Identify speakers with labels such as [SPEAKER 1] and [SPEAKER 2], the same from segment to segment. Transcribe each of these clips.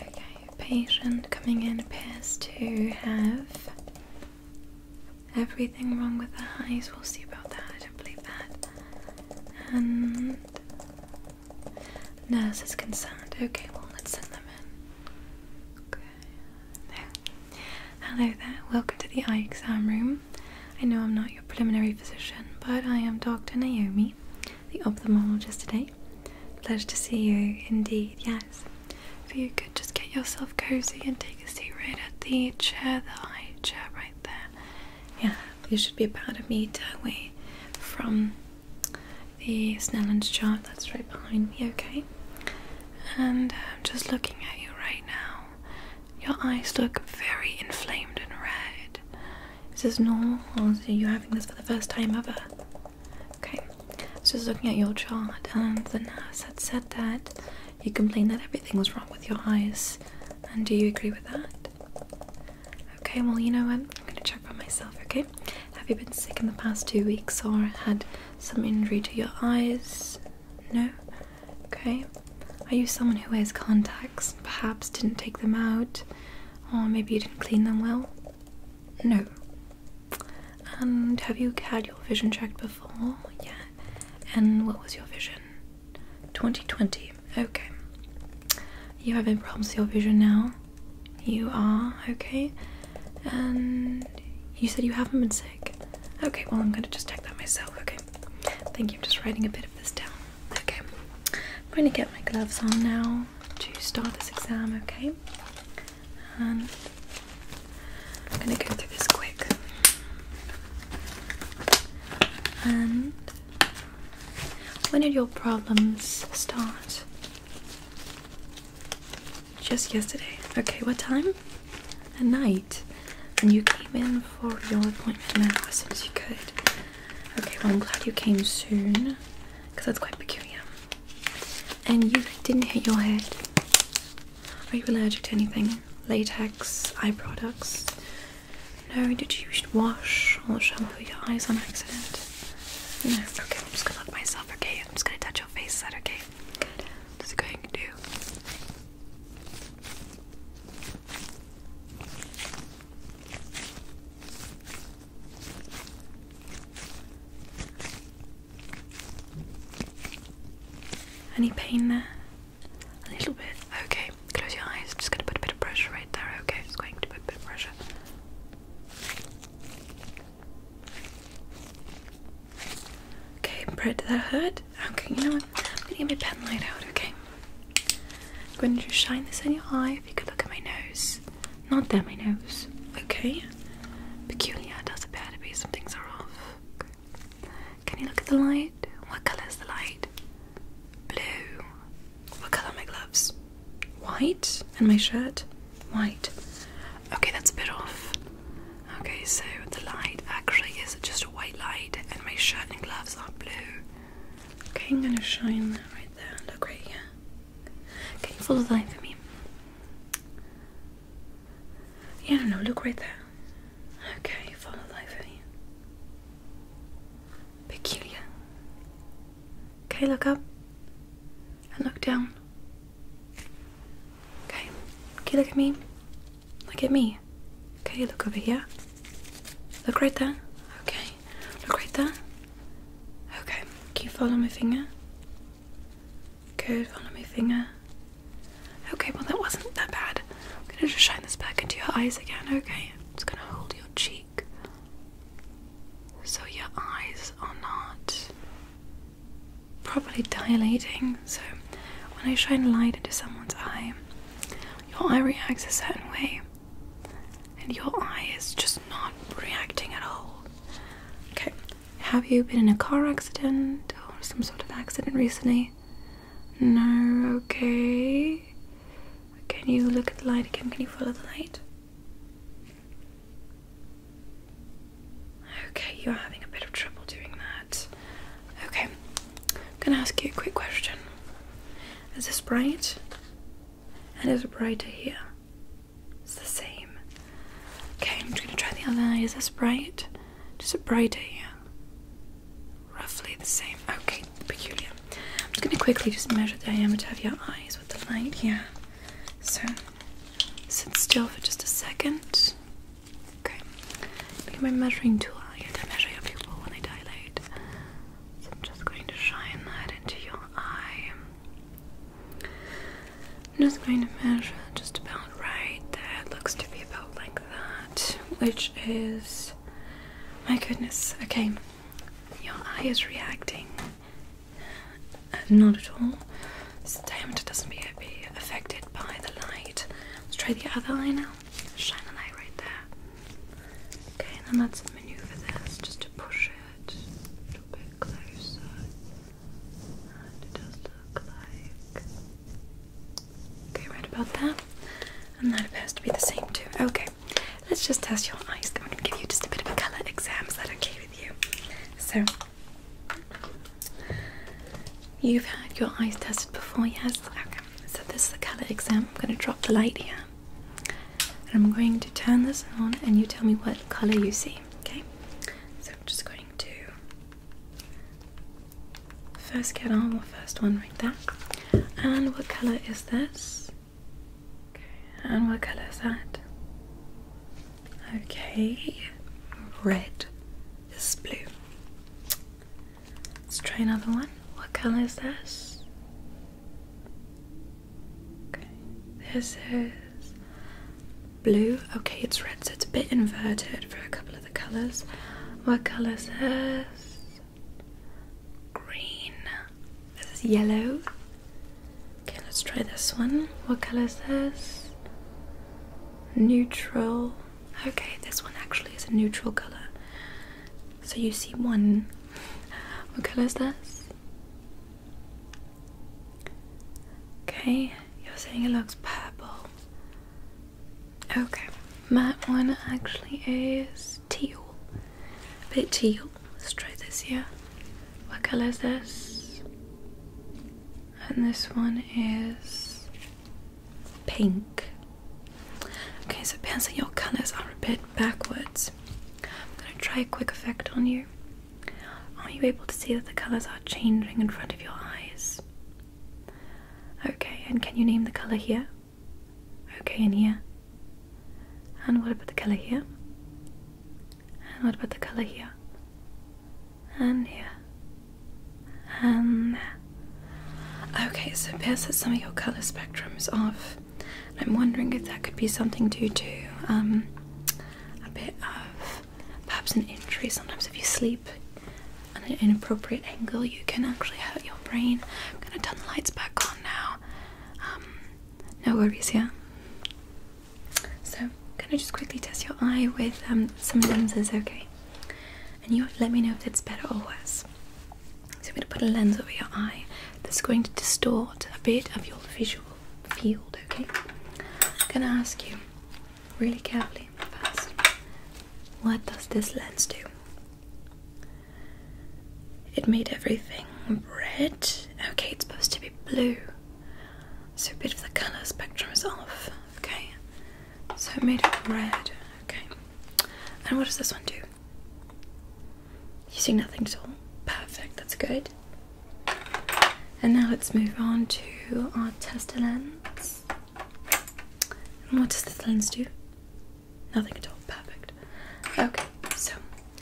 [SPEAKER 1] Okay, patient coming in appears to have everything wrong with the eyes. We'll see about that. I don't believe that. And nurse is concerned. Okay, well let's send them in. Okay. Hello there. Welcome to the eye exam room. I know I'm not your preliminary physician, but I am Dr. Naomi the ophthalmologist today. Pleasure to see you, indeed, yes. If you could just get yourself cozy and take a seat right at the chair, the high chair right there. Yeah, you should be about a meter away from the Snellen chart that's right behind me, okay? And um, just looking at you right now. Your eyes look very inflamed and red. Is this normal are you having this for the first time ever? Okay, I was just looking at your chart and the nurse had said that you complained that everything was wrong with your eyes. And do you agree with that? Okay, well, you know what? I'm gonna check for myself, okay? Have you been sick in the past two weeks or had some injury to your eyes? No? Okay. Are you someone who wears contacts? perhaps didn't take them out, or maybe you didn't clean them well. No. And have you had your vision checked before? Yeah. And what was your vision? 2020. Okay. You having problems with your vision now? You are? Okay. And you said you haven't been sick? Okay, well, I'm gonna just check that myself, okay? Thank you. I'm just writing a bit of this down. Okay, I'm going to get my gloves on now to start this exam, okay? And I'm going to go through this quick. And when did your problems start? Just yesterday. Okay, what time? At night. And you came in for your appointment now as soon as you could. Okay, well, I'm glad you came soon because that's quite peculiar. And you didn't hit your head. Are you allergic to anything? Latex, eye products? No, did you wash or shampoo your eyes on accident? No, okay, I'm just gonna look myself, okay? I'm just gonna touch your face, is okay? Good. Just going to. Any pain there? A little bit. Okay, close your eyes. I'm just going to put a bit of pressure right there. Okay, it's going to put a bit of pressure. Okay, Brett, did that hurt? Okay, you know what? I'm gonna get my pen light out, okay? I'm going to just shine this in your eye if you could look at my nose. Not that my nose. Okay? Peculiar does appear to be, some things are off. Can you look at the light? What colour is the light? Blue. What colour are my gloves? White? And my shirt? White. Okay, that's a bit off. Okay, so the light actually is just white light, and my shirt and gloves are blue. Okay, I'm gonna shine that right there. Look right here. Can follow the light for me? Yeah, no, no, look right there. Okay, follow the light for me. Peculiar. Okay, look up and look down. Okay, okay, look at me. Look at me. Okay, look over here. Look right there. Okay, look right there. Okay, keep following my finger? Good, follow my finger. Okay, well, that wasn't that bad. I'm gonna just shine this back into your eyes again, okay? it's gonna hold your cheek so your eyes are not properly dilating. So, when I shine light into someone's eye, your eye reacts a certain way, and your eye is just not reacting at all. Okay, have you been in a car accident or some sort of accident recently? No, okay. Can you look at the light again? Can you follow the light? Okay, you're having a bit of trouble doing that. Okay, I'm gonna ask you a quick question. Is this bright? And is it brighter here? It's the same. Okay, I'm just gonna try the other eye. Is this bright? Just a brighter here. Roughly the same. Okay, peculiar. I'm just gonna quickly just measure the diameter of your eyes with the light here. So sit still for just a second. Okay. Need my measuring tool. I oh, need to measure your pupil when they dilate. So I'm just going to shine that into your eye. I'm just going to measure just about right That looks to be about like that, which is my goodness. Okay, your eye is reacting. Uh, not at all. This it doesn't appear to be affected by the light. Let's try the other eye now. Shine a light right there. Okay, and then let's maneuver this just to push it a little bit closer. And it does look like. Okay, right about there. And that appears to be the same too. Okay, let's just test your eyes. I'm going to give you just a bit of a colour exam. Is that okay with you? So, You've had your eyes tested before, yes? so this is the colour exam. I'm going to drop the light here. And I'm going to turn this on and you tell me what colour you see, okay? So I'm just going to first get on the first one right there. And what colour is this? Okay, and what colour is that? Okay, red. This is blue. Let's try another one. What color is this? Okay, this is blue. Okay, it's red, so it's a bit inverted for a couple of the colors. What color is this? Green. This is yellow. Okay, let's try this one. What color is this? Neutral. Okay, this one actually is a neutral colour. So you see one. What colour is this? Okay, you're saying it looks purple. Okay, my one actually is teal. A bit teal. Let's try this here. What colour is this? and this one is pink. Okay, so pencil your colors are a bit backwards. I'm gonna try a quick effect on you. Are you able to see that the colors are changing in front of your eyes? Okay, and can you name the color here? Okay, in here. And what about the color here? And what about the color here? and here, and there. Okay, so it appears that some of your colour spectrums off. I'm wondering if that could be something due to um, a bit of perhaps an injury. Sometimes, if you sleep at an inappropriate angle, you can actually hurt your brain. I'm gonna turn the lights back on now. Um, no worries, yeah. So, I'm going to just quickly test your eye with um, some lenses, okay? And you have to let me know if it's better or worse. So, I'm going to put a lens over your eye that's going to distort a bit of your visual field, okay? I'm going to ask you really carefully first what does this lens do? It made everything red. Okay, it's supposed to be blue. So a bit of the colour spectrum is off. Okay. So it made it red. Okay. And what does this one do? You see nothing at all. Perfect. That's good. And now let's move on to our test lens. And what does this lens do? Nothing at all. Perfect. Okay. So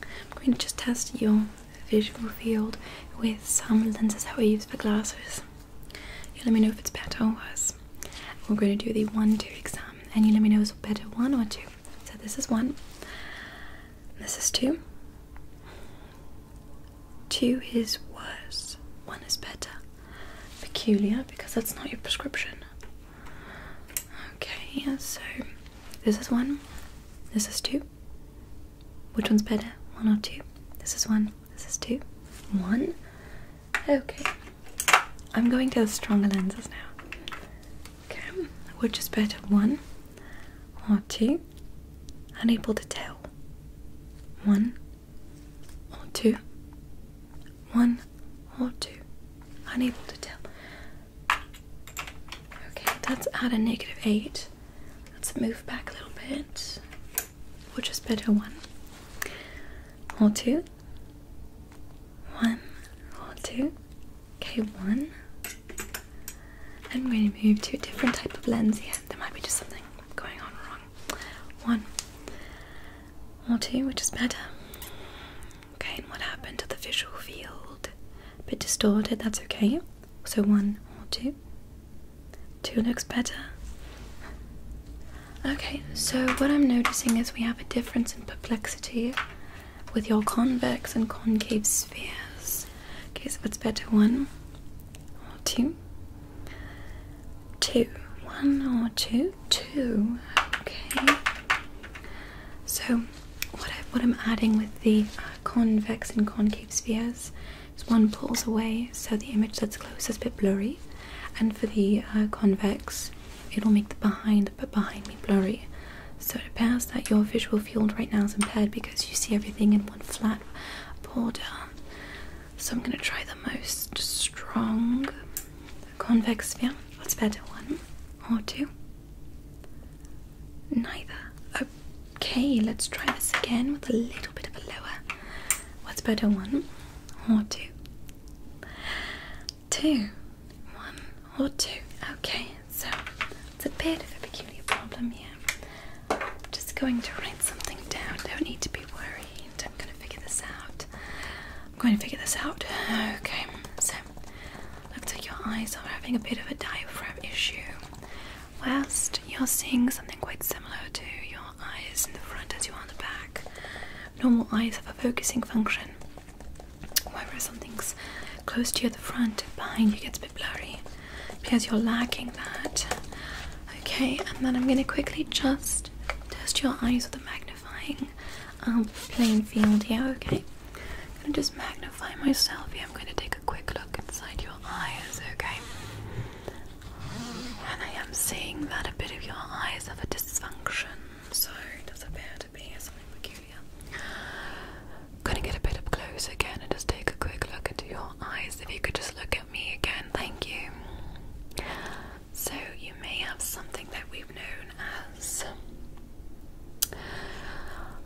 [SPEAKER 1] I'm going to just test your visual field with some lenses that we use for glasses. You let me know if it's better or worse. We're going to do the one two exam, and you let me know is better one or two. So this is one. This is two. Two is worse. One is better. Peculiar because that's not your prescription. Okay, so this is one. This is two. Which one's better? One or two? This is one. This is two. One? Okay. I'm going to the stronger lenses now. Okay. Which is better? One or two? Unable to tell. One or two? One or two? Unable to tell. Okay, that's at a negative eight. Let's move back a little bit. We'll just put one or two. One or two. Okay, one. I'm going to move to a different type of lens here. There might be just something going on wrong. One or two, which is better. Okay, and what happened to the visual field? A bit distorted, that's okay. So one or two. Two looks better. Okay, so what I'm noticing is we have a difference in perplexity with your convex and concave spheres. Okay, so what's better, one or two? Two. One or two? Two. Okay. So what, I, what I'm adding with the convex and concave spheres. So one pulls away, so the image that's close is a bit blurry, and for the uh, convex, it'll make the behind but behind me blurry. So it appears that your visual field right now is impaired because you see everything in one flat border. So I'm gonna try the most strong convex sphere. What's better, one or two. Neither. Okay, let's try this again with a little bit of a lower. What's better, one or two? Two. One or two. Okay, so it's a bit of a peculiar problem here. I'm just going to write something down. Don't need to be worried. I'm going to figure this out. I'm going to figure this out. Okay, so Looks like your eyes are having a bit of a diaphragm issue. Whilst you're seeing something quite similar to your eyes in the front as you are in the back, normal eyes have a focusing function. Whereas something's close to you at the front, behind you gets a bit blurry because you're lacking that. Okay, and then I'm going to quickly just test your eyes with a magnifying um, plain field here, okay? I'm gonna just magnify myself. Yeah, I'm gonna take a quick look inside your eyes, okay? And I am seeing that a bit of your eyes have a dysfunction, so it does appear to be something peculiar. Gonna get a bit up close again and just take a quick look into your eyes. If you could just look at me again, thank you. So, you may have something that we've known as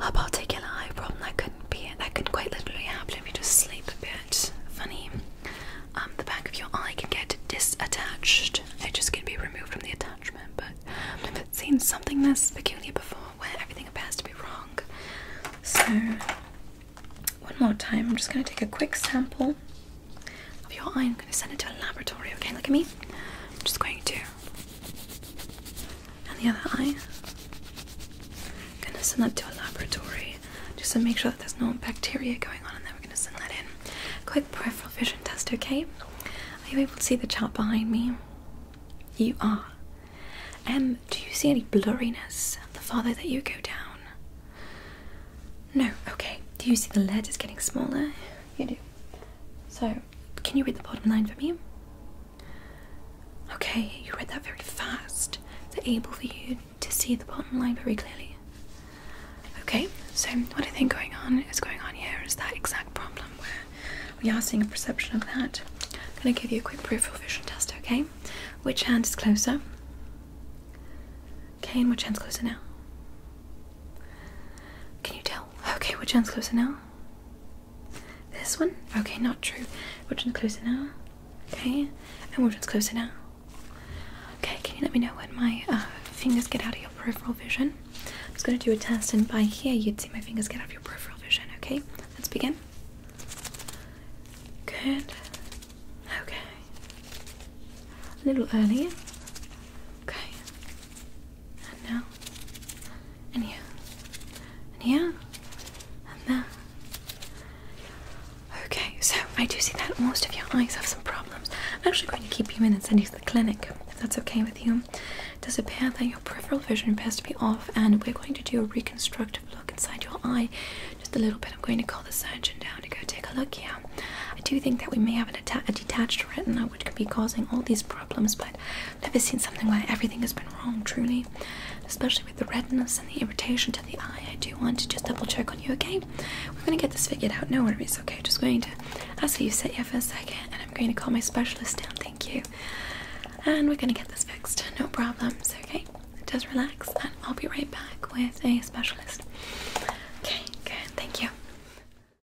[SPEAKER 1] a particular eye problem? That couldn't be That could quite literally happen if you just sleep a bit. Funny. Um, the back of your eye can get disattached. It just can be removed from the attachment, but I've seen something this peculiar before where everything appears to be wrong. So, one more time, I'm just going to take a quick sample of your eye. I'm going to send it to a laboratory, okay? Look at me. I'm just going to and the other eye. I'm gonna send that to a laboratory just to make sure that there's no bacteria going on, and then we're gonna send that in. Quick peripheral vision test, okay? Are you able to see the chart behind me? You are. Um, do you see any blurriness the farther that you go down? No, okay. Do you see the lead is getting smaller? You do. So, can you read the bottom line for me? Okay, you read that very fast. They're able for you to see the bottom line very clearly. Okay, so what do you think going on What's going on here is that exact problem where we are seeing a perception of that. I'm going to give you a quick peripheral vision test, okay? Which hand is closer? Okay, and which hand's closer now? Can you tell? Okay, which hand's closer now? This one? Okay, not true. Which one's closer now? Okay, and which one's closer now? Okay, can you let me know when my uh, fingers get out of your peripheral vision? I'm just going to do a test, and by here you'd see my fingers get out of your peripheral vision. Okay, let's begin. Good. Okay. A little earlier. Okay and now, and here, and here, and there. Okay, so I do see that most of your eyes have some problems. I'm actually going to keep you in and send you to the clinic if that's okay with you. It does appear that your peripheral vision appears to be off, and we're going to do a reconstructive look inside your eye just a little bit. I'm going to call the surgeon down to go take a look here. I do think that we may have a detached retina, which could be causing all these problems, I've never seen something where everything has been wrong, truly. Especially with the redness and the irritation to the eye. I do want to just double check on you, okay? We're gonna get this figured out, no worries, okay? Just going to I'll see you sit here for a second and I'm going to call my specialist down, thank you. And we're gonna get this fixed, no problems, okay? Just relax and I'll be right back with a specialist. Okay, good, thank you.